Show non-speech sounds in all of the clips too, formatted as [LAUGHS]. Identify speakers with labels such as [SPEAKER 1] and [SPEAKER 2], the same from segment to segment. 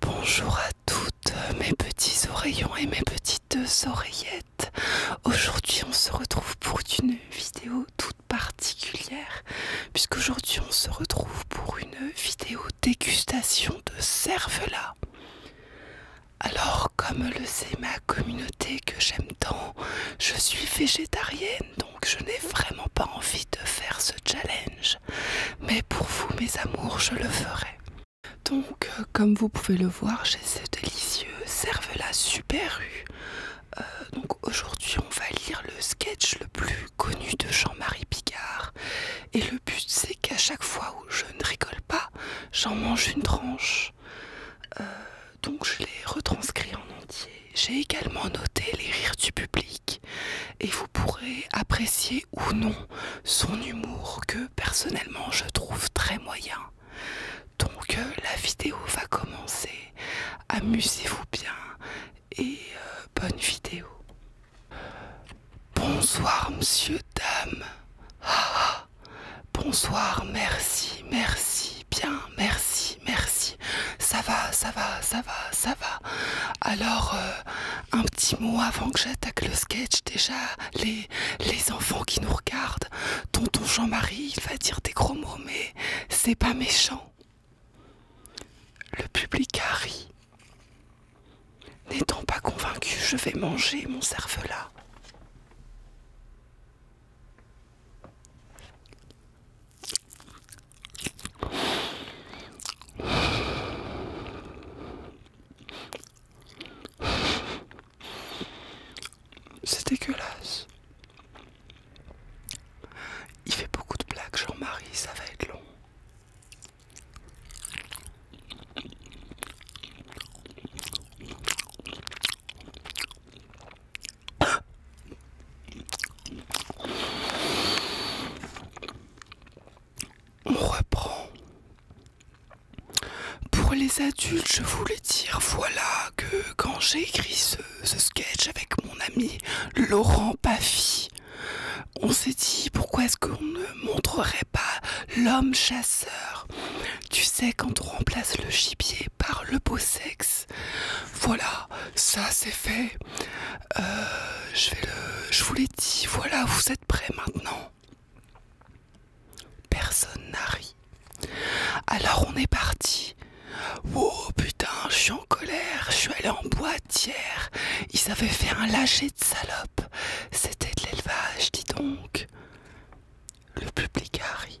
[SPEAKER 1] Bonjour à toutes mes petits oreillons et mes petites oreillettes. Aujourd'hui on se retrouve pour une vidéo toute particulière puisqu'aujourd'hui on se retrouve pour une vidéo dégustation de cervelas. Alors comme le sait ma communauté que j'aime tant, je suis végétarienne donc je n'ai vraiment pas envie de faire ce challenge mais pour vous, mes amours, je le ferai. Donc, euh, comme vous pouvez le voir, j'ai ce délicieux cervelas super rue euh, donc aujourd'hui, on va lire le sketch le plus connu de Jean-Marie Picard. Et le but, c'est qu'à chaque fois où je ne rigole pas, j'en mange une tranche. Euh, donc je l'ai retranscrit en entier. J'ai également noté les rires du public et vous pourrez apprécier ou non son humour que personnellement je trouve très moyen. Donc euh, la vidéo va commencer. Amusez-vous bien et euh, bonne vidéo. Bonsoir monsieur, dame. Ah, ah. bonsoir, merci, merci, bien, merci, merci. Ça va, ça va, ça va, ça va. Alors, euh, un petit mot avant que j'attaque le sketch. Déjà, les, les enfants qui nous regardent, tonton Jean-Marie, il va dire des gros mots, mais c'est pas méchant. Le public a ri. N'étant pas convaincu, je vais manger mon cervelas. C'est dégueulasse. Il fait beaucoup de blagues, Jean-Marie, ça va être long. On reprend. Pour les adultes, je voulais dire, voilà que quand j'ai écrit ce, sketch avec mon ami Laurent Paffy, on s'est dit pourquoi est-ce qu'on ne montrerait pas l'homme chasseur Tu sais quand on remplace le gibier par le beau sexe voilà, ça c'est fait. Euh, je vous l'ai dit. Voilà, vous êtes prêts maintenant. Personne n'a ri. Alors on est parti. Oh putain, je suis en colère. Je suis allé en boîte hier. Ils avaient fait un lâcher de salope. C'était de l'élevage, dis donc. Le public a ri.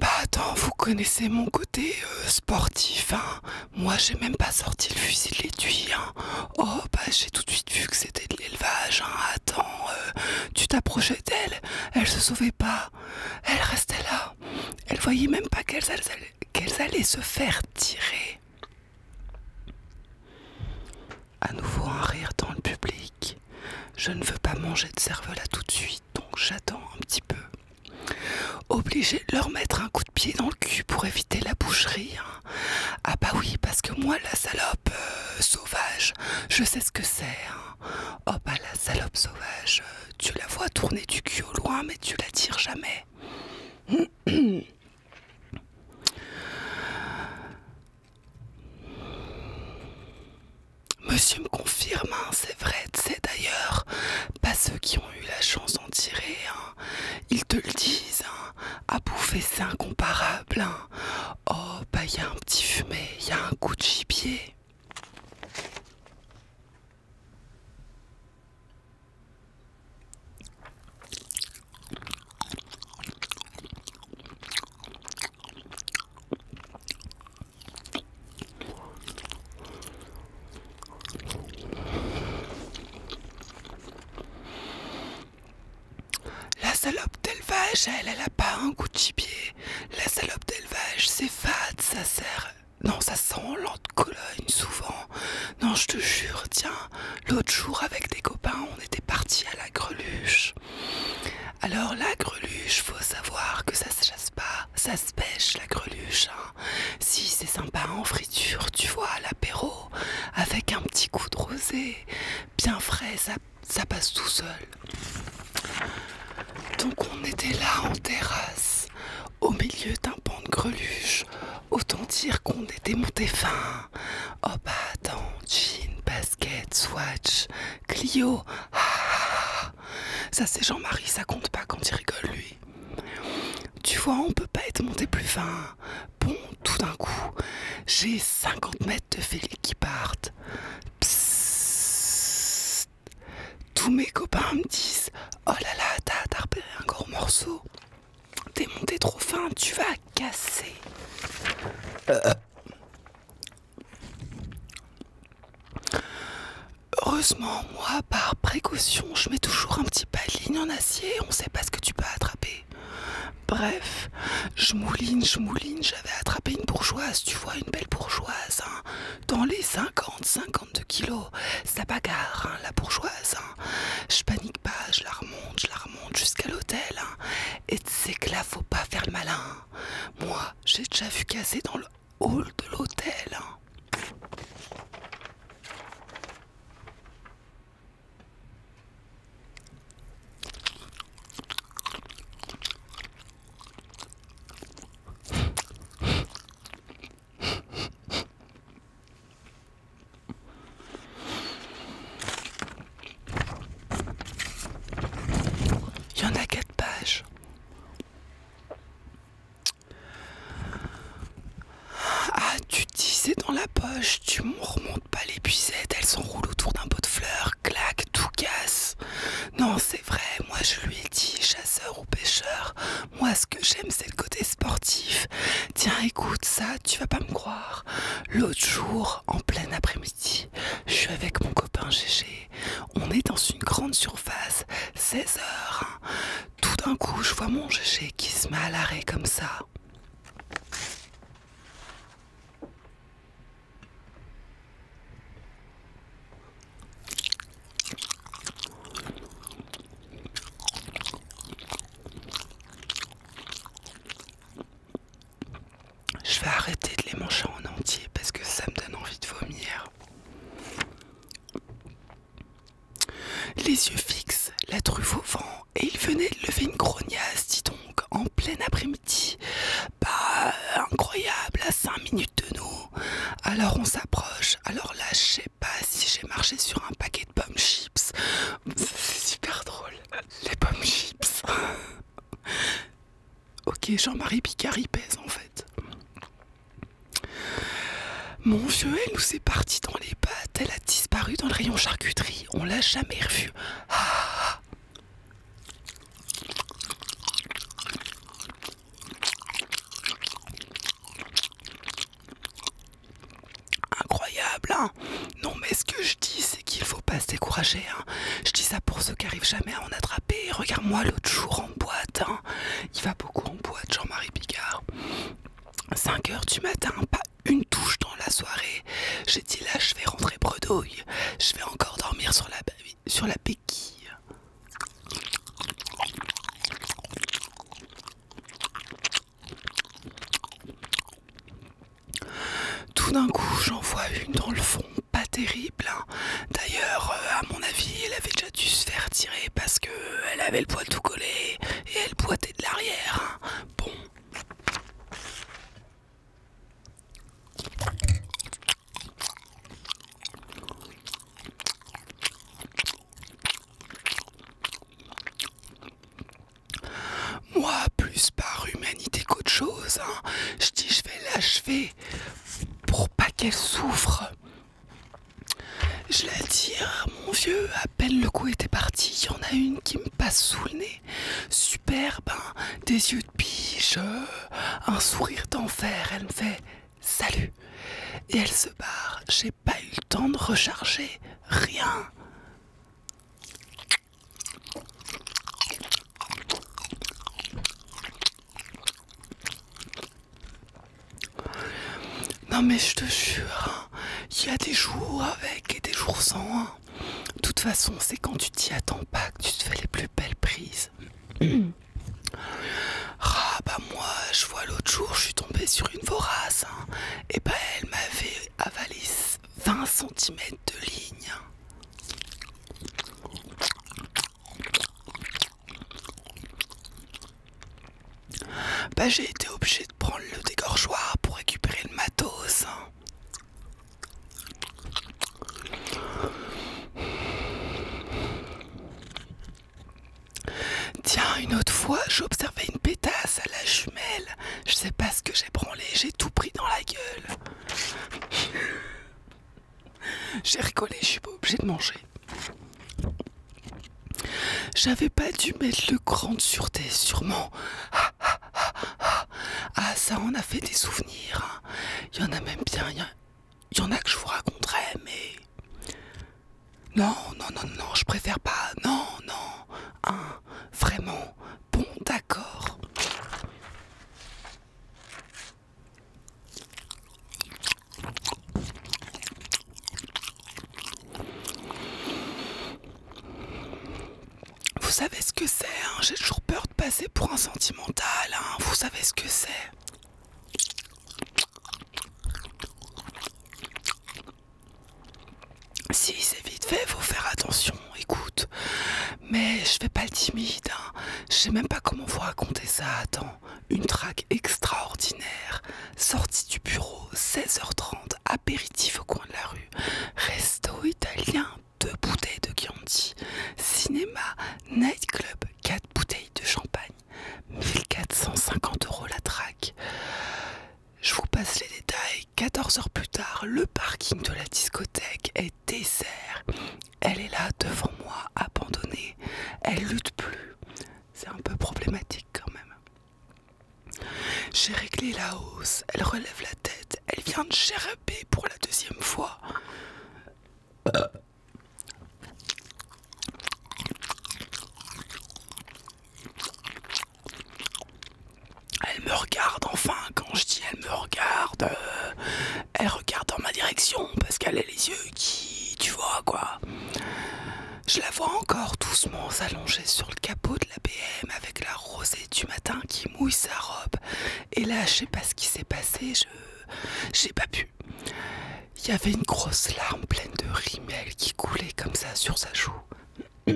[SPEAKER 1] Bah attends, vous connaissez mon côté euh, sportif, hein Moi j'ai même pas sorti le fusil de hein. Oh bah j'ai tout de suite vu que c'était de l'élevage, hein Attends, euh, tu t'approchais d'elle, elle se sauvait pas, elle restait là, elle voyait même pas qu'elles allaient se faire tirer. À nouveau un rire dans le public. Je ne veux pas manger de cervelas tout de suite, donc j'attends un petit peu. Obligé de leur mettre un coup de pied dans le cul pour éviter la boucherie. Hein. Ah bah oui, parce que moi, la salope euh, sauvage, je sais ce que c'est. Hein. Oh bah la salope sauvage, euh, tu la vois tourner du cul au loin, mais tu la tires jamais. [CLEARS THROAT] Monsieur me confirme, hein, c'est vrai, c'est d'ailleurs pas ceux qui ont eu la chance d'en tirer. Hein. Ils te le disent, hein, à bouffer c'est incomparable. Oh, bah y a un petit fumet, y a un coup de gibier. La salope d'élevage, elle, elle a pas un goût de gibier. La salope d'élevage, c'est fade, ça sert. Non, ça sent l'autre Cologne souvent. Non, je te jure, tiens, l'autre jour avec des copains, on était parti à la greluche. Alors la greluche, faut savoir que ça se chasse pas, ça se pêche la greluche. Hein. Si c'est sympa en friture, tu vois, à l'apéro, avec un petit coup de rosé, bien frais, ça, ça passe tout seul. Donc on était là en terrasse, au milieu d'un pan de greluche. Autant dire qu'on était monté fin. Oh bah attends, jean, basket, swatch, Clio. ça c'est Jean-Marie, ça compte pas quand il rigole lui. Tu vois, on peut pas être monté plus fin. Bon, tout d'un coup, j'ai 50 mètres de félix qui partent. Tous mes copains me disent Oh là là, t'as repéré un gros morceau. T'es monté trop fin, tu vas casser. Heureusement, moi, par précaution, je mets toujours un petit ligne en acier, on sait pas ce que tu peux attraper. Bref, je mouline, je mouline, j'avais attrapé une bourgeoise, tu vois, une belle bourgeoise, hein, dans les 50-52 kilos. Oh, ça bagarre, hein, la bourgeoise. Hein. Je panique pas, je la remonte, je la remonte jusqu'à l'hôtel. Hein. Et Et sais que là, faut pas faire le malin. Moi, j'ai déjà vu casser dans le hall de l'hôtel. Il y en a quatre pages. Ah, tu disais dans la poche, tu m'en remontes pas les buissettes elles s'enroulent autour d'un pot de fleurs, Clac tout casse. Non, c'est vrai, moi je lui ai dit chasseur ou pêcheur, moi, ce que j'aime, c'est le côté sportif. Tiens, écoute, ça, tu vas pas me croire. L'autre jour, en plein après-midi, je suis avec mon copain Gégé. On est dans une grande surface, 16 h hein. Tout d'un coup, je vois mon Gégé qui se met à l'arrêt comme ça. Je vais arrêter de les manger en entier parce que ça me donne envie de vomir. Les yeux fixes, la truffe au vent, et il venait de lever une grognasse, dis donc, en plein après-midi. Bah, incroyable, à 5 minutes de nous. Alors on s'approche. Alors là, je sais pas si j'ai marché sur un paquet de pommes chips. C'est super drôle. Les pommes chips. [LAUGHS] ok, Jean-Marie Picard pèse en fait. Mon vieux, elle nous est partie dans les pattes. Elle a disparu dans le rayon charcuterie. On l'a jamais revue. Ah, ah. Incroyable, hein Non mais ce que je dis c'est qu'il faut pas se décourager. Hein. je dis ça pour ceux qui arrivent jamais à en attraper. Regarde-moi l'autre jour en boîte. Hein. Il va beaucoup en boîte, Jean-Marie Picard. 5h du matin, pas une touche dans la soirée. J'ai dit là je vais rentrer bredouille. Je vais encore dormir sur la baby sur la béquille. Tout d'un coup, j'en vois une dans le fond, pas terrible. Hein. D'ailleurs, euh, à mon avis, elle avait déjà dû se faire tirer parce que elle avait le poids tout collé et elle boitait de l'arrière. Hein. Bon. Moi, plus par humanité qu'autre chose, hein. je dis je vais l'achever pour pas qu'elle souffre. Je la tire, hein, mon vieux, à peine le coup était parti, il y en a une qui me passe sous le nez. Superbe, hein, des yeux de pige, euh, un sourire d'enfer, elle me fait Salut Et elle se barre, j'ai pas eu le temps de recharger, rien Non mais je te jure, hein, il y a des jours avec et des jours sans. Hein. De toute façon, c'est quand tu t'y attends pas que tu te fais les plus belles prises. [CLEARS THROAT] Ah bah moi je vois l'autre jour je suis tombé sur une vorace et hein. eh bah elle m'avait avalé 20 cm de ligne Bah j'ai été obligé de prendre le dégorgeoir pour récupérer le matos hein. Tiens, une autre fois, j'observais une pétasse à la jumelle. Je sais pas ce que j'ai branlé, j'ai tout pris dans la gueule. j'ai rigolé, je suis pas obligée de manger. J'avais pas dû mettre le grand de sûreté, sûrement. Ah, ah, ah, ah, ça, on a fait des souvenirs. Hein. Il y en a même bien. Il y en a que je vous raconterai, mais. Non, non, non, non, je préfère pas. Non, non. un hein, vraiment. Bon, d'accord. Vous savez ce que c'est, hein j'ai toujours peur de passer pour un sentimental, hein. vous savez ce que c'est. Si c'est vite fait, faut faire attention, écoute. Mais je vais pas le timide, hein. je sais même pas comment vous raconter ça. Attends, une traque extraordinaire, sortie du bureau, 16h30, apéritif au coin de la rue, resto italien, deux bouteilles de Chianti, cinéma, nightclub, quatre bouteilles de champagne, 1450 euros la traque. Je vous passe les détails. 14 heures plus tard, le parking de la discothèque est désert. Elle est là devant moi, abandonnée. Elle lutte plus. C'est un peu problématique quand même. J'ai réglé la hausse. Elle relève la tête elle vient de Chérapé pour la deuxième fois. Elle me regarde, enfin, quand je dis elle me regarde, euh, elle regarde dans ma direction parce qu'elle a les yeux qui, tu vois quoi. Je la vois encore doucement s'allonger sur le capot de la BM avec la rosée du matin qui mouille sa robe. Et là, je sais pas ce qui s'est passé, je j'ai pas pu. Il y avait une grosse larme pleine de rimelles qui coulait comme ça sur sa joue. [CLEARS THROAT]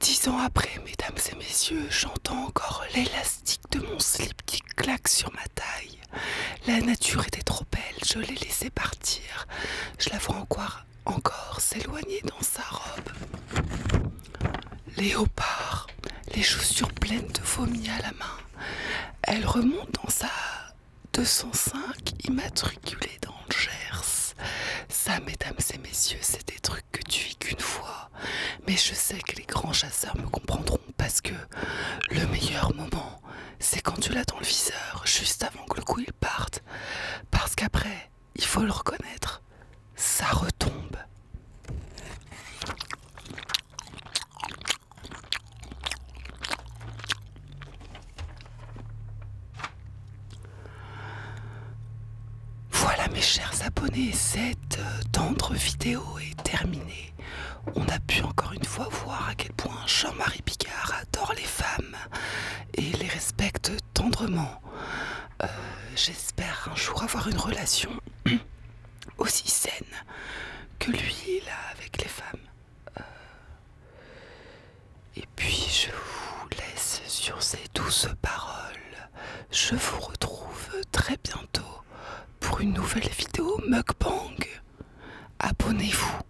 [SPEAKER 1] Dix ans après, mesdames et messieurs, j'entends encore l'élastique de mon slip qui claque sur ma taille. La nature était trop belle, je l'ai laissé partir. Je la vois encore, encore s'éloigner dans sa robe. Léopard, les chaussures pleines de vomi à la main. Elle remonte dans sa 205 immatriculée dans Gers. Ça, mesdames et messieurs, c'est des trucs que tu vis qu'une fois. Mais je sais que les grands chasseurs me comprendront parce que le meilleur moment, c'est quand tu l'as dans le viseur, juste avant que le coup il parte. Parce qu'après, il faut le reconnaître, ça retombe. Voilà mes chers abonnés, cette euh, tendre vidéo est terminée. On a pu encore une fois voir à quel point Jean-Marie Picard adore les femmes et les respecte tendrement. Euh, j'espère un jour avoir une relation [CLEARS THROAT] aussi saine que lui, là, avec les femmes. Euh, et puis, je vous laisse sur ces douces paroles. Je vous retrouve très bientôt pour une nouvelle vidéo mukbang. Abonnez-vous.